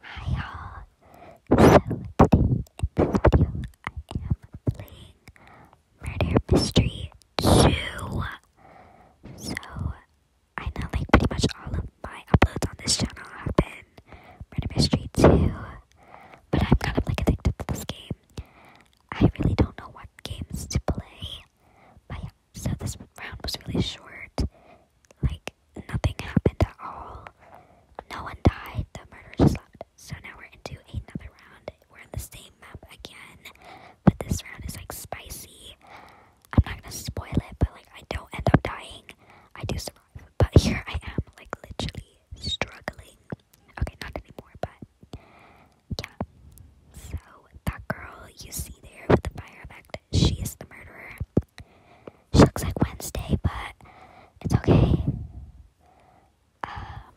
Hi all So today in this video I am playing Murder Mystery 2. So I know like pretty much all of my uploads on this channel have been Murder Mystery 2. But I'm kind of like addicted to this game. I really don't know what games to play. But yeah, so this round was really short. Like, nothing happened at all. No one died. The murderer just left. So now we're into another round. We're on the same map again. But this round is like spicy. I'm not gonna spoil it, but like, I don't end up dying. I do survive. But here I am, like, literally struggling. Okay, not anymore, but yeah. So, that girl you see there with the fire effect, she is the murderer. She looks like Wednesday, but it's okay. Um,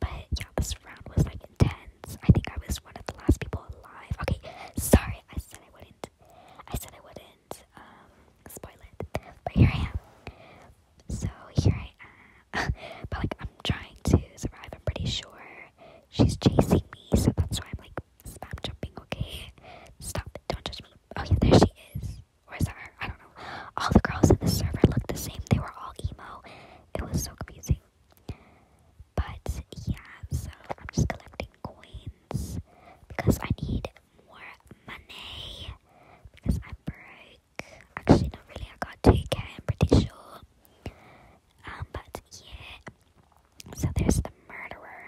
but yeah, this round was like intense. I think I was one of the last people alive. Okay, sorry, I said I wouldn't. I said I wouldn't. Um, spoil it. But here I am. So here I am. but like, I'm trying to survive. I'm pretty sure she's chasing me, so that's why I'm like spam jumping, okay? Stop it, don't judge me. Oh yeah, there she is. Or her? I don't know. All the girls in the server looked the same. They were all emo. It was so confusing. But yeah, so I'm just collecting coins because I need more money. Because I'm broke. Actually, not really. I got 2k, I'm pretty sure. Um, but yeah, so there's the murderer.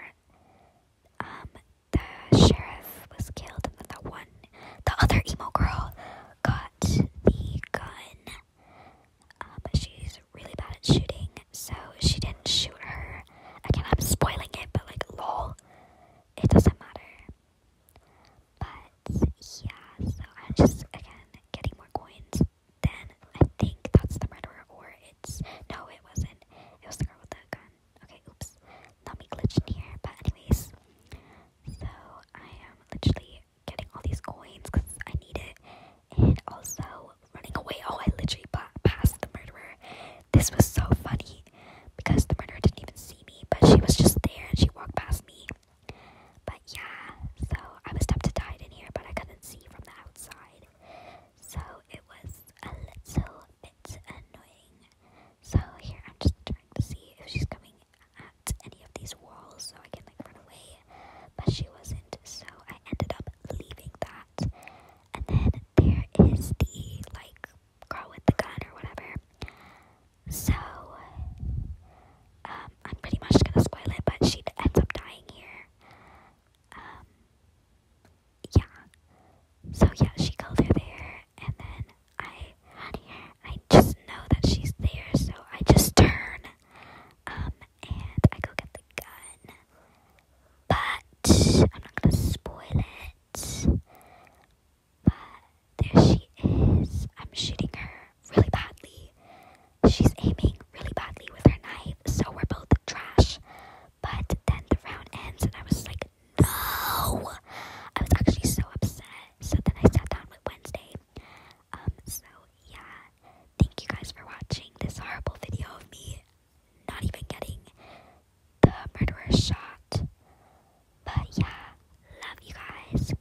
Um, the sheriff was killed, and the one, the other emo girl, got the gun. Uh, but she's really bad at shooting, so she didn't shoot her. Again, I'm spoiling it, but like, lol, it doesn't matter. But yeah, so I'm just again getting more coins then I think that's the murderer, or it's no, it wasn't. It was the girl with the gun. Okay, oops, let me glitch in here. But anyways, so I am literally getting all these coins because I need it, and also running away. Oh, I literally passed the murderer. This was so funny because the murderer didn't even see me, but she was just there and she walked past me. But yeah, so I was tempted to hide in here, but I couldn't see from the outside. So it was a little bit annoying. So here I'm just trying to see if she's coming at any of these walls so I can like run away. But she wasn't, so I ended up leaving that. And then there is the like girl with the gun or whatever. So um I'm pretty much gonna spoil it, but she ends up dying here. Um, yeah. So yeah, she killed her there, and then I I just know that she's there, so I just turn, um, and I go get the gun. But I'm not gonna spoil it. But there she is. I'm shooting her really badly she's aiming really badly with her knife, so we're both trash. But then the round ends, and I was like, no! I was actually so upset. So then I sat down with Wednesday. Um, so yeah, thank you guys for watching this horrible video of me not even getting the murderer shot. But yeah, love you guys.